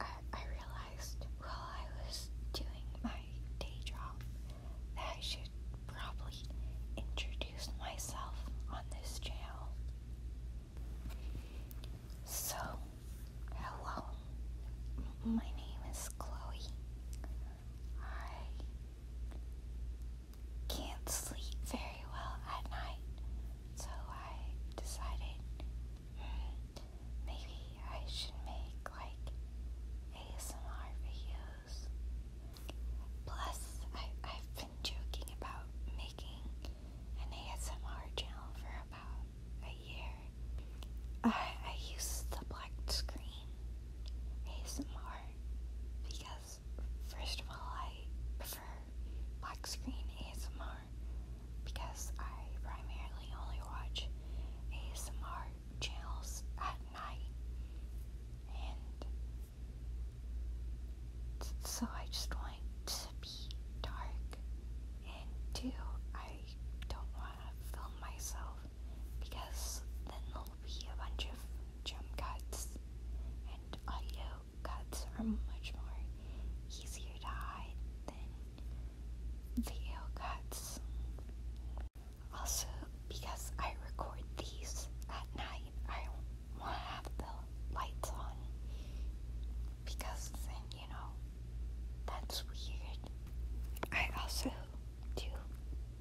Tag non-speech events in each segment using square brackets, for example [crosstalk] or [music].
I, realized while I was doing my day job that I should probably introduce myself on this channel. So, hello, my name is Chloe. I can't sleep very well at night, so I decided maybe I should make like ASMR videos. Plus, I, I've been joking about making an ASMR channel for about a year. I, I use the black screen ASMR because first of all, I prefer black screen ASMR because I primarily only watch ASMR channels at night, and so I just want to be dark. And two, I don't want to film myself because then there'll be a bunch of jump cuts and audio cuts are much more easier to hide than the ale cuts. Also, because I record these at night, I want to have the lights on because then, you know, that's weird. I also do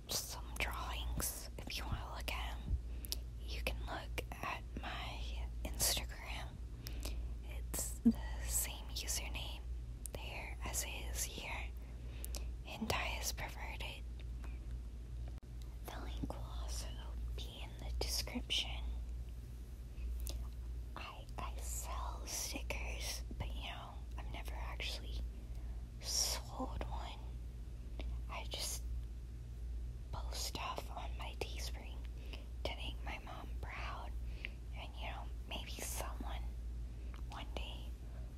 some drawings if you want to look at them. You can look at my Instagram. It's the same username there as it is here. Hentai is perverted. The link will also be in the description. I I sell stickers, but you know, I'm never actually sold one. I just post stuff on my T spring to make my mom proud. And you know, maybe someone one day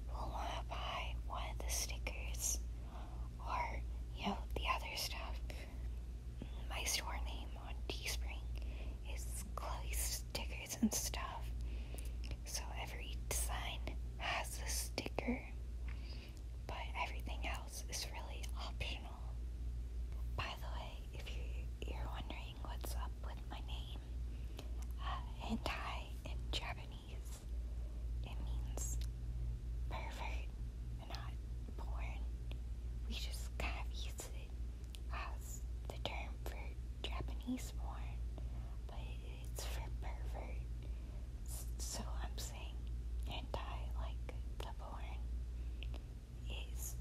will want to buy one of the stickers or, you know, the other stuff. My store name on T spring is Chloe's Stickers and Stuff. So every design has a sticker, but everything else is really optional. By the way, if you, are wondering what's up with my name, uh, hentai in Japanese, it means pervert not porn. We just kind of use it as the term for Japanese porn, but it's for pervert. So I'm saying anti, like the porn is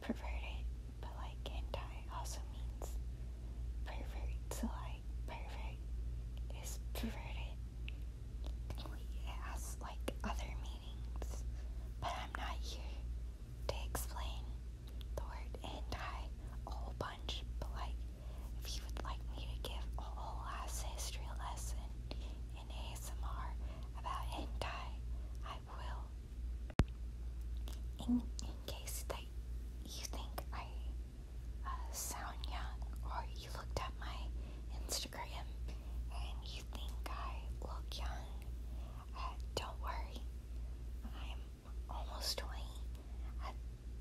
perverted, but like anti also means pervert. So like pervert is perverted. It has like other meanings, but I'm not here to explain the word anti a whole bunch, but like, if you would like me to give a whole ass history lesson in ASMR about anti, I will. In, in case that you think I uh, sound young, or you looked at my Instagram and you think I look young, uh, don't worry. I'm almost 20. At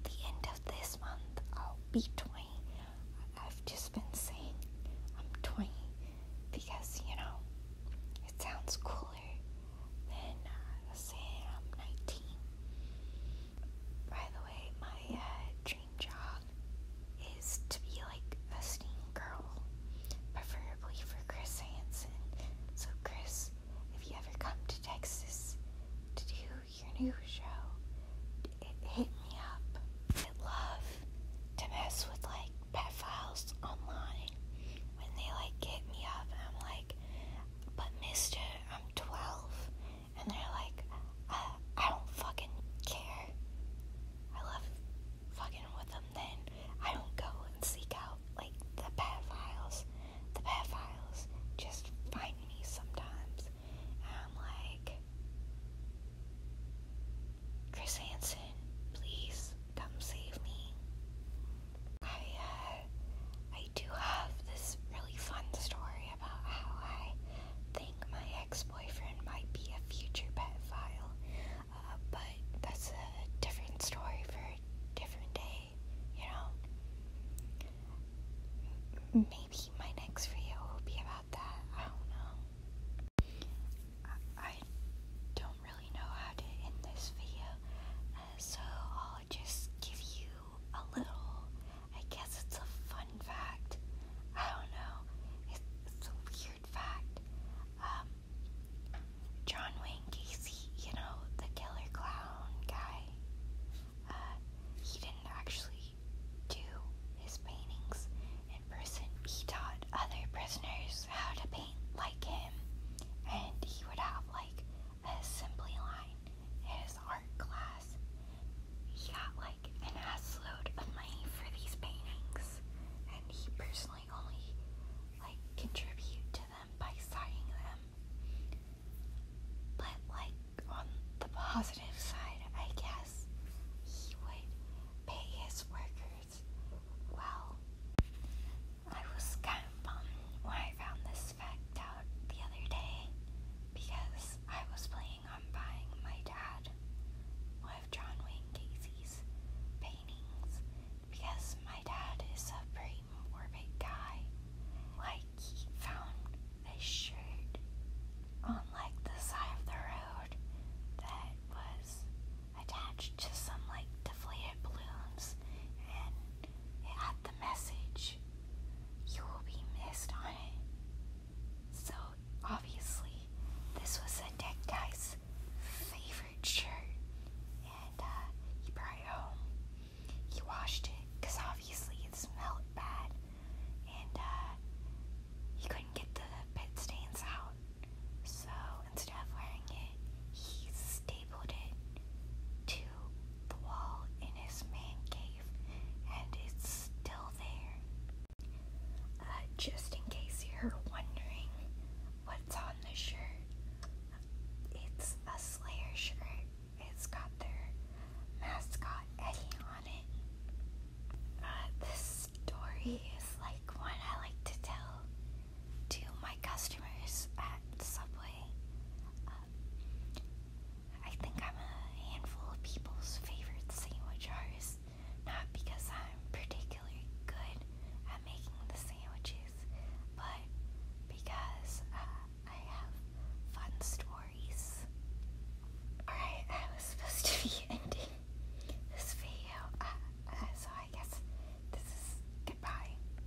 the end of this month, I'll be 20. I've just been saying I'm 20 because, you know, it sounds cooler than uh, saying I'm 19. By the way, my uh, dream job is to be like a girl, preferably for Chris Hansen. So, Chris, if you ever come to Texas to do your new show, it hit me up. I love to mess with like pet files online when they like hit me up I'm like, but mister, I'm 12. And they're like, uh, I don't fucking care. I love fucking with them then. I don't go and seek out like the pedophiles. The pedophiles just find me sometimes, and I'm like, Chris Hansen, please come save me. I uh, I do have this really fun story about how I think my ex-boyfriend might be a future pedophile but that's a different story for a different day, you know? Maybe my next video will be about that. I don't know. I, don't really know how to end this video, uh, so I'll just give you a little. I guess it's a fun fact. I don't know. It's, it's weird weird fact. Um, John Wayne Gacy, you know, the killer clown guy, uh, he didn't actually do his paintings in person. He taught other prisoners how to paint like him, and he would have like a simply line in his art class, he got like an ass load of money for these paintings, and he personally only like contributed to them by signing them. But like on the positive side, I guess he would pay his workers well. I was kind of bummed when I found this fact out the other day because I was playing I'm buying my dad one of John Wayne Casey's paintings because my dad is a pretty morbid guy. Like, he found this shirt on like the side of the road that was attached to some like deflated balloons and it had the message you will be missed on it. So obviously, this was a deck guy's favorite shirt, and uh, he brought it home. He washed it because obviously it smelled bad, and uh, he couldn't get the pit stains out. So instead of wearing it, he stapled it to the wall in his man cave, and it's still there. Uh, just in case you're wondering what's on the shirt, it's a Slayer shirt. It's got their mascot Eddie on it. Uh, this story is like one I like to tell to my customers at Subway. Uh, I think I'm a handful of people's favorite sandwich artist, not because I'm particularly good at making the sandwiches, but because uh, I have fun stories. Alright, I was supposed to be [laughs] ending this video, uh, uh, so I guess this is goodbye.